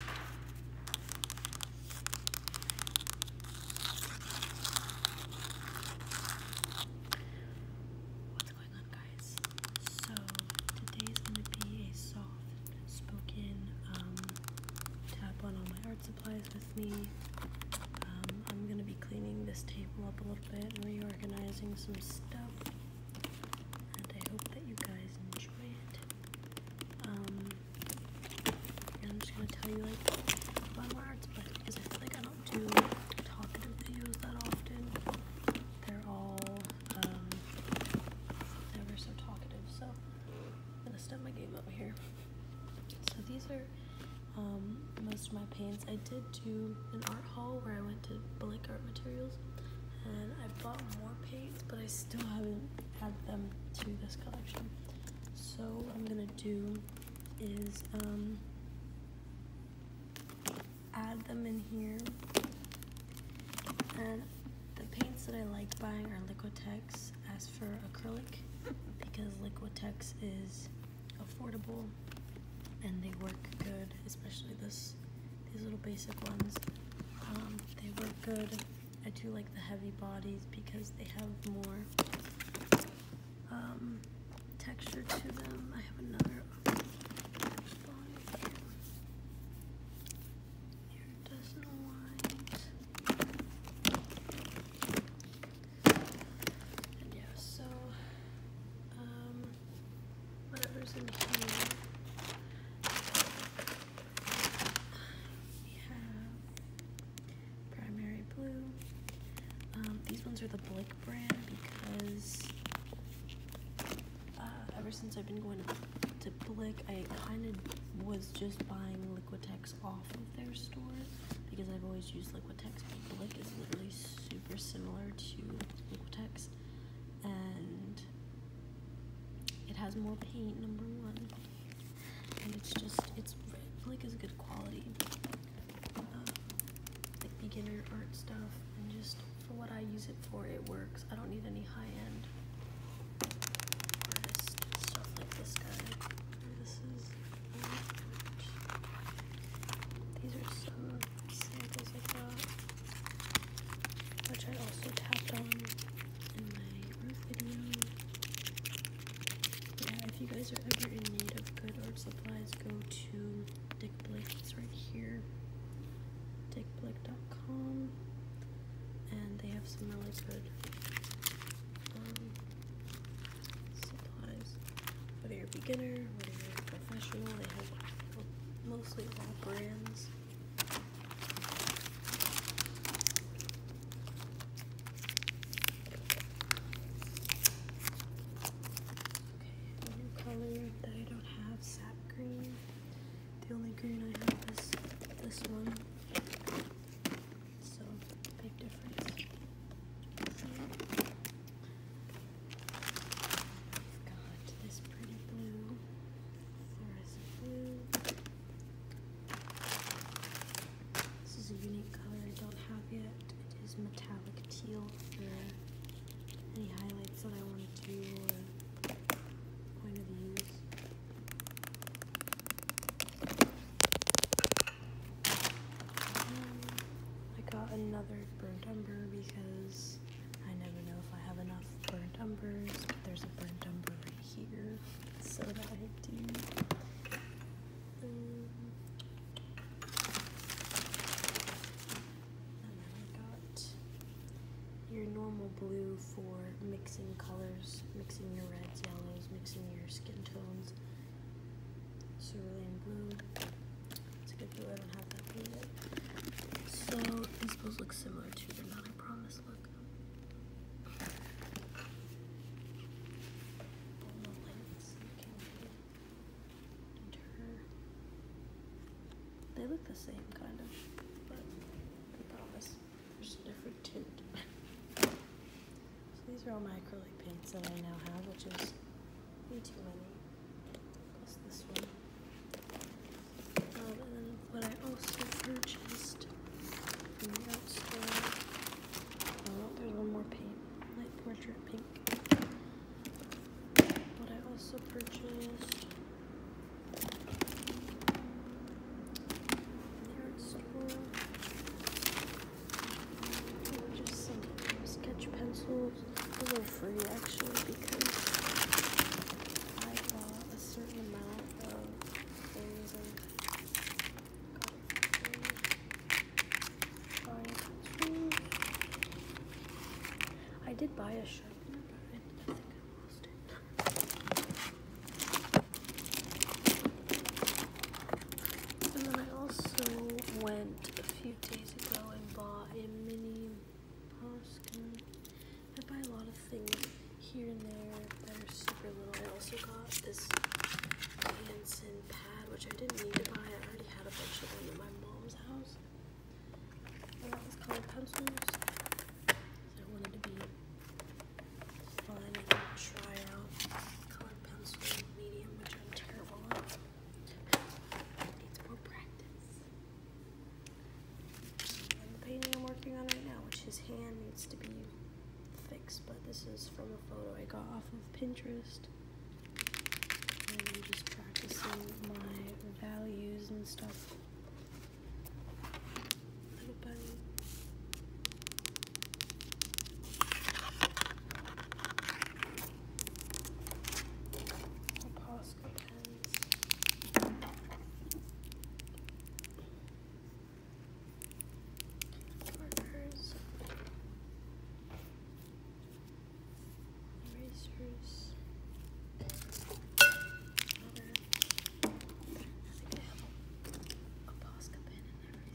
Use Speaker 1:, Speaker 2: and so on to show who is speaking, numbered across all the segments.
Speaker 1: What's going on, guys? So, today is going to be a soft spoken um, tap on all my art supplies with me. Um, I'm going to be cleaning this table up a little bit and reorganizing some stuff. And I hope that you guys enjoy it. Um, I'm just gonna tell you like my words, but because I feel like I don't do talkative videos that often, they're all never um, so talkative. So I'm gonna step my game up here. So these are um, most of my paints. I did do an art hall where I went to Blake Art Materials, and I bought more paints, but I still haven't had them to this collection. So what I'm gonna do is um, add them in here. And the paints that I like buying are Liquitex. As for acrylic, because Liquitex is affordable and they work good, especially this these little basic ones. Um, they work good. I do like the heavy bodies because they have more um, texture to them. I have another And yeah, so um, whatever's in here. We primary blue. Um, these ones are the Blick brand because uh, ever since I've been going to, Blick, I kind of was just buying Liquitex off of their store because I've always used Liquitex, but Blick is literally super similar to Liquitex. And it has more paint, number one, and it's just it's like it's good quality, uh, like beginner art stuff, and just for what I use it for, it works. I don't need any high end artist stuff like this guy. This is. Um, these are so which I also tapped on in my roof video. Yeah, if you guys are ever in need of good art supplies, go to Dick Blake. right here, dickblake.com, and they have some really good um, supplies whether you're a beginner, whether you're a professional, they have mostly all brands. Okay, new color I don't have, sap green. The only green I have is this one. So, big difference i this is a unique color I don't have yet. It is metallic teal for any highlights that I want to do point of use. I got another burnt umber because I never know if I have enough burnt umbers. there's a burnt umber right here, so that I do. and then I got your normal blue for mixing colors, mixing your reds, yellows, mixing your skin tones cerulean blue. It's a good blue, I don't have that blue So these blues look similar to the Mountain Promise look. They look the same, kind of, but I promise there's a different tint. so these are all my acrylic paints that I now have, which is be too many. Plus this one. Um, and then what I also purchased from the art store. Oh, there's one more paint. Light Portrait Pink. What I also purchased from the art store just some sketch pencils. These are free actually because I bought a certain amount of things and got free. I did buy a shirt. I think I lost it. And then I also went a few days ago and bought a mini Boston. I buy a lot of things here and there that are super little. I also got this Hanson pad, which I didn't need to buy. I already had a bunch of them at my mom's house. I got these colored pencils. I wanted to be fun and try out medium, which I'm terrible at. Needs more practice. And the painting I'm working on right now, which his hand needs to be fixed, but this is from a photo I got off of Pinterest. And I'm um, just practicing my values and stuff. Little bunny. Costco pens. Markers. Erasers. Another. I think I have a, a pen in there.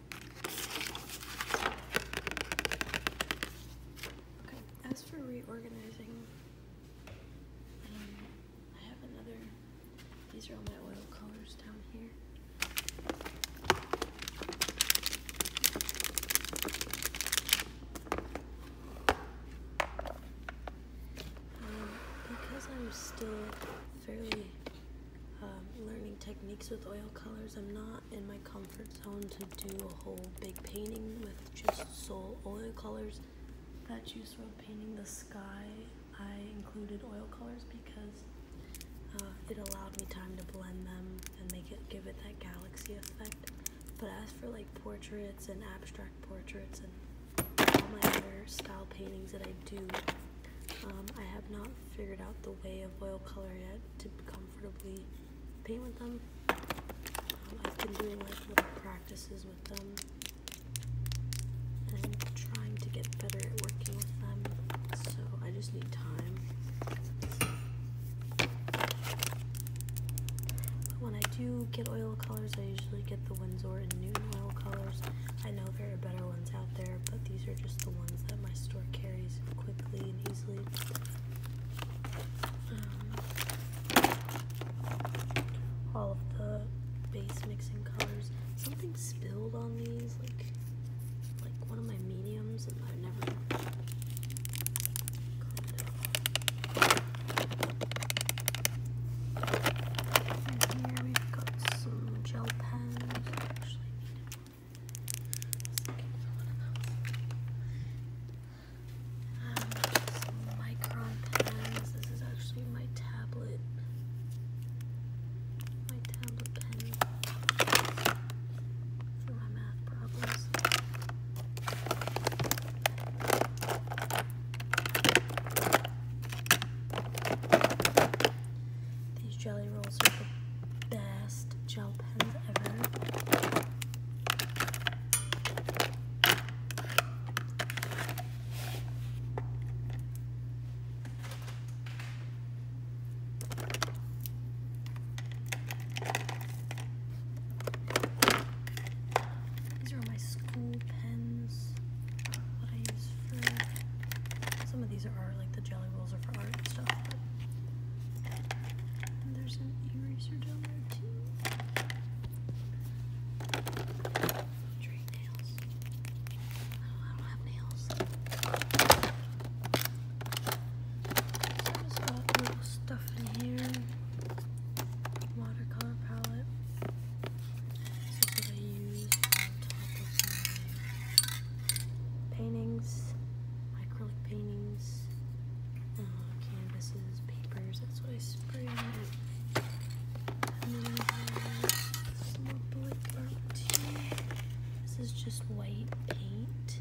Speaker 1: Okay, as for reorganizing, um, I have another, these are all my oil colors down here. Um, because I'm still fairly um, learning techniques with oil colors. I'm not in my comfort zone to do a whole big painting with just sole oil colors. That juice road painting, the sky, I included oil colors because uh, it allowed me time to blend them and make it give it that galaxy effect. But as for like portraits and abstract portraits and all my other style paintings that I do, um, I have not figured out the way of oil color yet to comfortably paint with them. Um, I've been doing like little practices with them and trying to get better at working with them. So I just need time. when I do get oil colors, I usually get the Winsor and Newton oil colors. I know there are better ones out there but these are just the ones that my store carries quickly and easily. Um, all of the base mixing colors. Something spilled on these, like like one of my mediums, and I never here we've got some some micron pens. This is actually my tablet. My tablet pen for my math problems. These jelly rolls are the best gel pens ever. These are my school pens that uh, I use for. Some of these are like the jelly rolls are for art stuff. And there's an eraser down there too. nails. Oh, I don't have nails. just got little stuff in here. Watercolor palette. This is paintings, acrylic paintings, uh, canvases, papers. That's what I spray This is just white paint.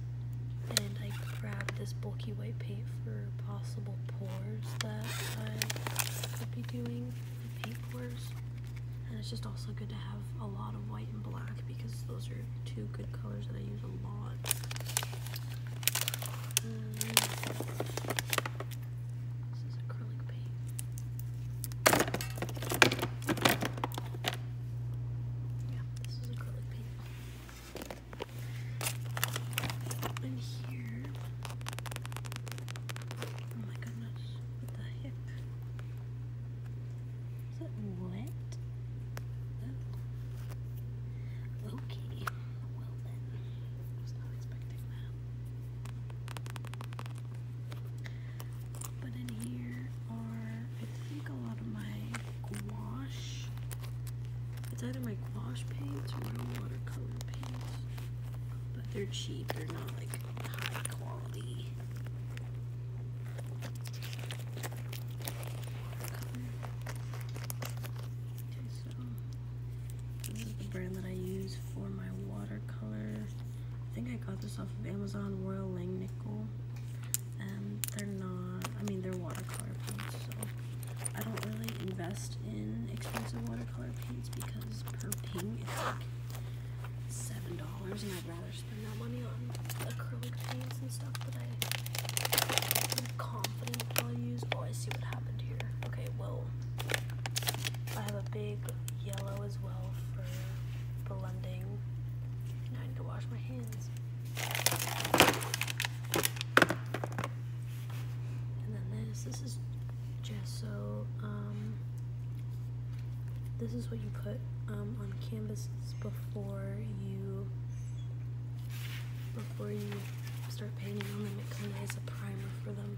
Speaker 1: And I grabbed this bulky white paint for possible pores that I could be doing the papers. And it's just also good to have a lot of white and black because those are two good colors that I use a lot. Um, this is acrylic paint. Yeah, this is acrylic paint. That here. Oh my goodness. the heck? Is that wet? Oh. Okay. Well then. I was not expecting that. But in here are, I think, a lot of my gouache it's either my gouache paints or my watercolor paints. But they're cheap, they're not like high quality. Okay, so this is the brand that I use for my watercolor. I think I got this off of Amazon Royal Langnickel. And they're not, I mean, they're watercolor paints, so I don't really invest in expensive watercolor paints because per ping it's like seven dollars, and I'd rather spend that money on acrylic paints and stuff that I am confident I'll use. Oh, I see what happened here. Okay, well, I have a big yellow as well for blending. Now I need to wash my hands. And then this, this is gesso. Um, this is what you put um, on canvases before you before you start painting on them it kind of is a primer for them.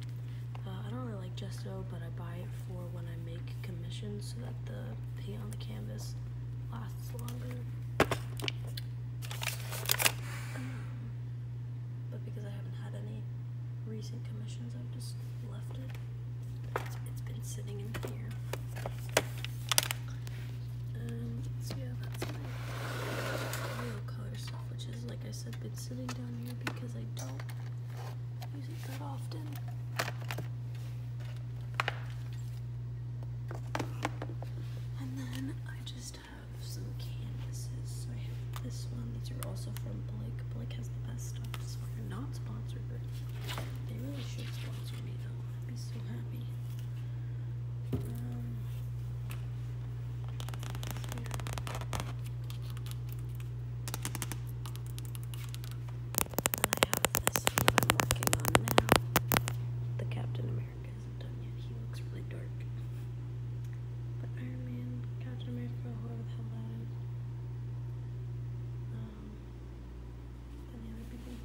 Speaker 1: Uh, I don't really like gesso, but I buy it for when I make commissions so that the paint on the canvas lasts vlogging. Um, but because I haven't had any recent commissions, I've just left it. it's been sitting in here. Um, so yeah, that's my real color stuff, which is, like I said, been sitting down here because I don't use it that often. And then I just have some canvases. So I have this one. These are also from Blake. Blake has the best stuff. So they're not sponsored, but they really should sponsor me though. I'd be so happy. Um, I have this one I'm working on now. The Captain Iron isn't yet. He looks really dark. But Iron Man, Captain America, whoever the hell that is. Um, and the other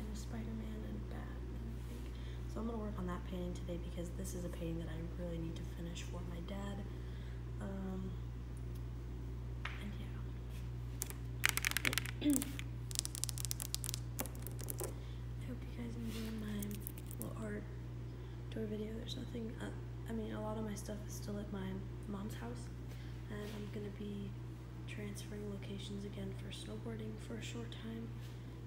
Speaker 1: And Spider-Man and Bat, and I think. So I'm going to work on that painting today because this is a painting that I really need to finish for my dad. Um, and yeah. I hope you guys enjoy my little art tour video. There's nothing, uh, I mean, a lot of my stuff is still at my mom's house, and I'm going to be transferring locations again for snowboarding for a short time.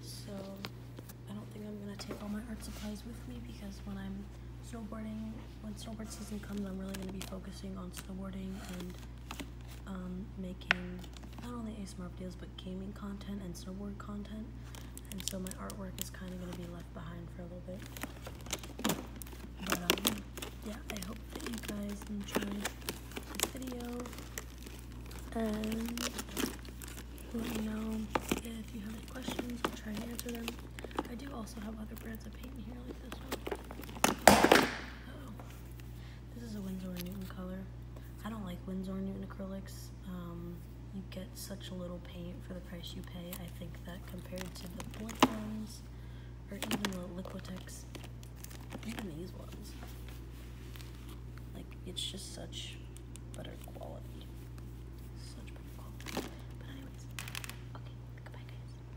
Speaker 1: So I don't think I'm going to take all my art supplies with me because when I'm snowboarding, when snowboard season comes, I'm really going to be focusing on snowboarding and um, making not only ASMR videos but gaming content and snowboard content, and so my artwork is kind of going to be left behind for a little bit. But um, yeah, I hope that you guys enjoyed this video, and let me know if you have any questions. I'll try and answer them. I do also have other brands of paint in here, like this one. This is a Winsor & Newton color. I don't like Winsor & Newton acrylics. Um, you get such little paint for the price you pay. I think that compared to the blue Bortons or even the Liquitex, even these ones, like it's just such better quality. Such better quality. But anyways, okay, goodbye guys.